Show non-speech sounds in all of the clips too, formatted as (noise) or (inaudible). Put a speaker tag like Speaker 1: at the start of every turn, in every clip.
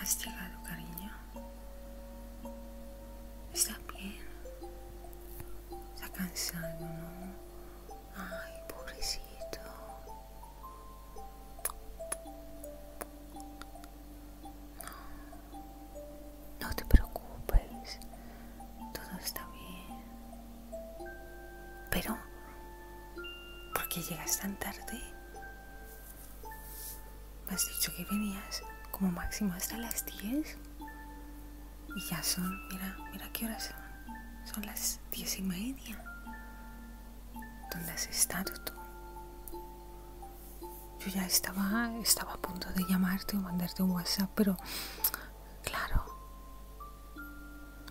Speaker 1: ¿Has llegado, cariño? Está bien? ¿Estás cansado, no? Ay, pobrecito. No, te preocupes, todo está bien. Pero, ¿por qué llegas tan tarde? Me has dicho que venías como máximo hasta las 10. Y ya son, mira, mira qué horas son. Son las diez y media. ¿Dónde has estado tú? Yo ya estaba, estaba a punto de llamarte o mandarte un WhatsApp, pero claro,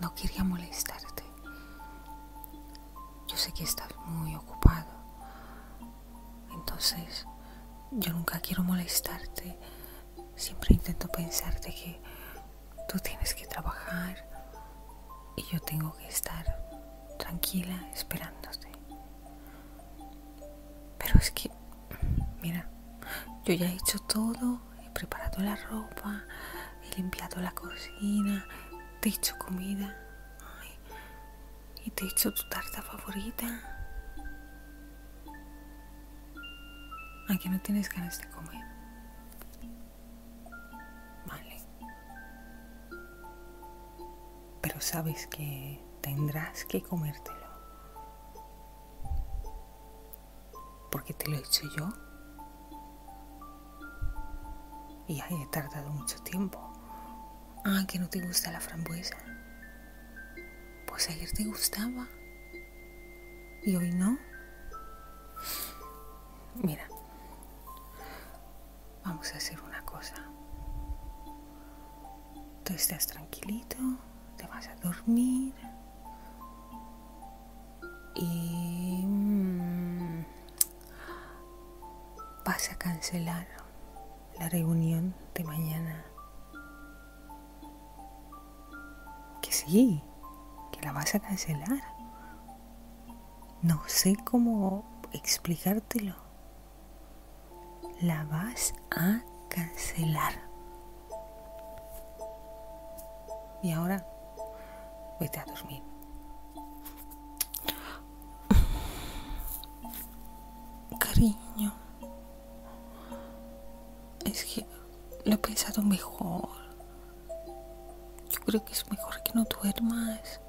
Speaker 1: no quería molestarte. Yo sé que estás muy ocupado. Entonces, yo nunca quiero molestarte. Siempre intento pensarte que tú tienes que trabajar, y yo tengo que estar tranquila esperándote. Pero es que, mira, yo ya he hecho todo, he preparado la ropa, he limpiado la cocina, te he hecho comida y te he hecho tu tarta favorita. Aquí no tienes ganas de comer. Vale. Pero sabes que tendrás que comértelo. Porque te lo he hecho yo. Y ahí he tardado mucho tiempo. Ah, que no te gusta la frambuesa. Pues ayer te gustaba. Y hoy no. Mira, Vamos a hacer una cosa. Tú estás tranquilito, te vas a dormir y mm, vas a cancelar la reunión de mañana. Que sí, que la vas a cancelar. No sé cómo explicártelo. La vas a cancelar. Y ahora, vete a dormir. Cariño, es que lo he pensado mejor. Yo creo que es mejor que no duermas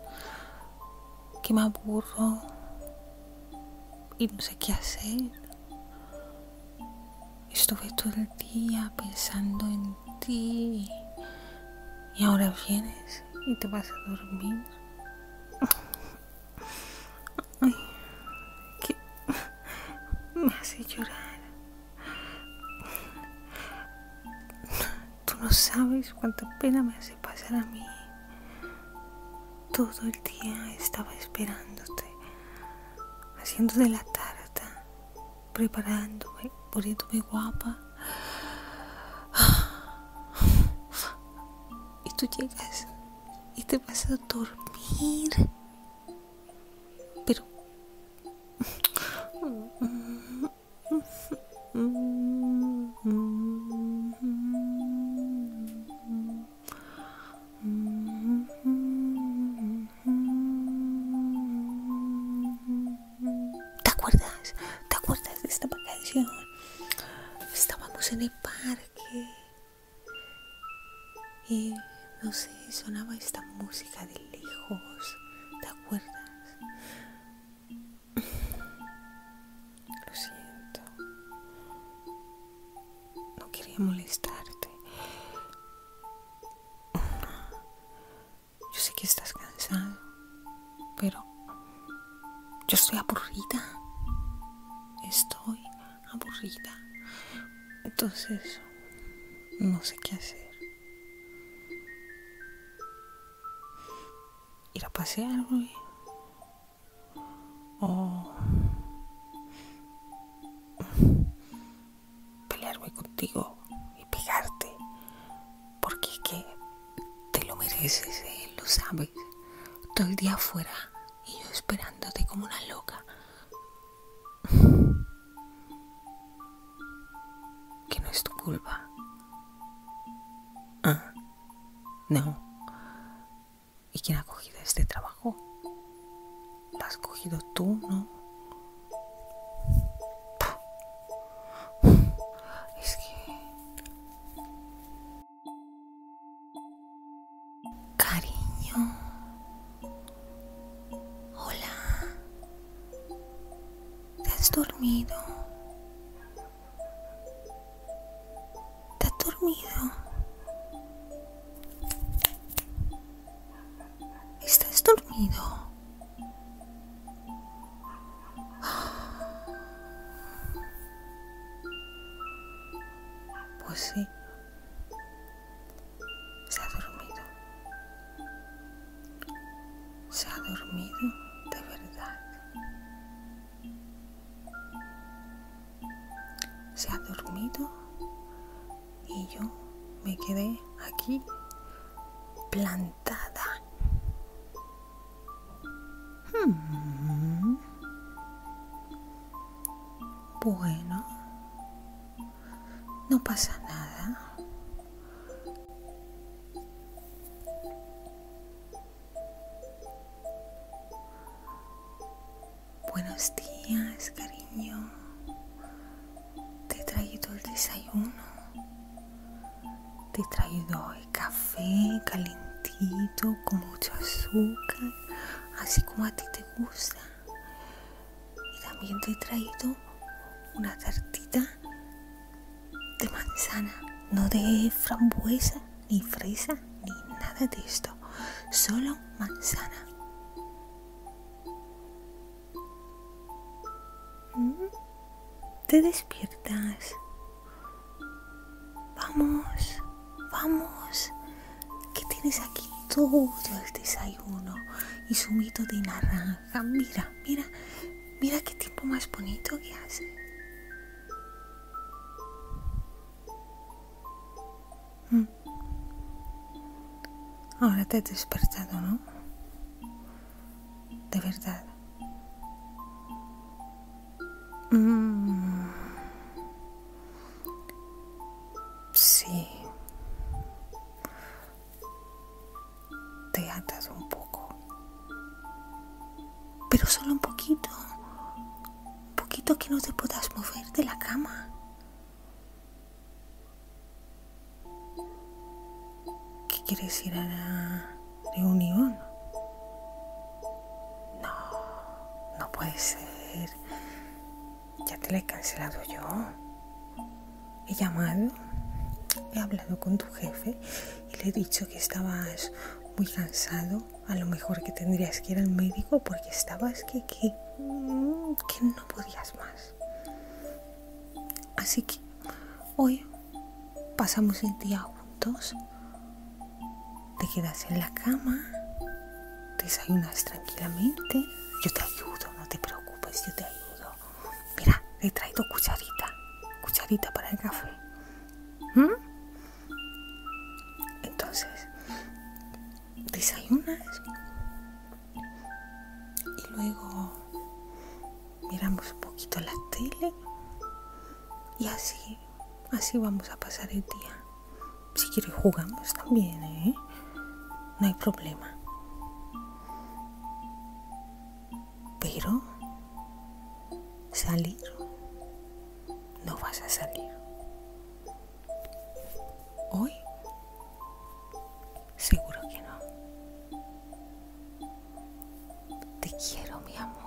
Speaker 1: que me aburro y no sé qué hacer. Estuve todo el día pensando en ti y ahora vienes y te vas a dormir. Ay, me hace llorar. Tú no sabes cuánta pena me hace pasar a mí. Todo el día estaba esperándote, haciéndote la tarta, preparándome, poniéndome guapa. Y tú llegas y te vas a dormir. Pero... ¿Te acuerdas? ¿Te acuerdas de esta vacación? Estábamos en el parque y no sé, sonaba esta música de lejos. ¿Te acuerdas? Lo siento. No quería molestarte. Yo sé que estás cansado, pero yo estoy aburrida. Estoy aburrida. Entonces, no sé qué hacer ir a pasear, O pelear, contigo y pegarte. Porque es que te lo mereces, eh, lo sabes. Todo el día afuera y yo esperándote como una loca que no es tu culpa. Ah, no. ¿Y quién ha cogido este trabajo? ¿Lo has cogido tú, no? Es que... Cariño. Hola. ¿Estás dormido? ¿Te dormido? ¿Estás dormido? (gasps) Pues sí, se ha dormido se ha dormido de verdad. Se ha dormido y yo me quedé aquí plantada. Hmm. Bueno, no pasa nada. Buenos días, cariño. Te he traído el desayuno. Te he traído el café calentito con mucho azúcar, así como a ti te gusta. Y también te he traído una tartita de manzana, no de frambuesa, ni fresa, ni nada de esto. Solo manzana. Mm, te despiertas. Vamos, vamos. Que tienes aquí? Todo el desayuno y su mito de naranja Ah, mira, mira, mira qué tipo más bonito que hace. Mm. Ahora te he despertado, ¿no? De verdad. Mm. Sí te atas un poco, pero solo un poquito, un poquito que no te puedas mover de la cama. ¿Qué quieres ir a la reunión? No, no puede ser. Ya te la he cancelado yo he llamado, he hablado con tu jefe y le he dicho que estabas muy cansado, a lo mejor que tendrías que ir al médico porque estabas que, que, no podías más. Así que hoy pasamos el día juntos, te quedas en la cama, desayunas tranquilamente, yo te ayudo, no te preocupes, yo te ayudo mira, he traído cucharita, cucharita para el café. ¿Mm? Entonces, desayunas y luego miramos un poquito la tele y así, así vamos a pasar el día. Si quieres jugamos también, ¿eh? No hay problema. Pero salir, no vas a salir. Hoy, seguro que no. Te quiero, mi amor.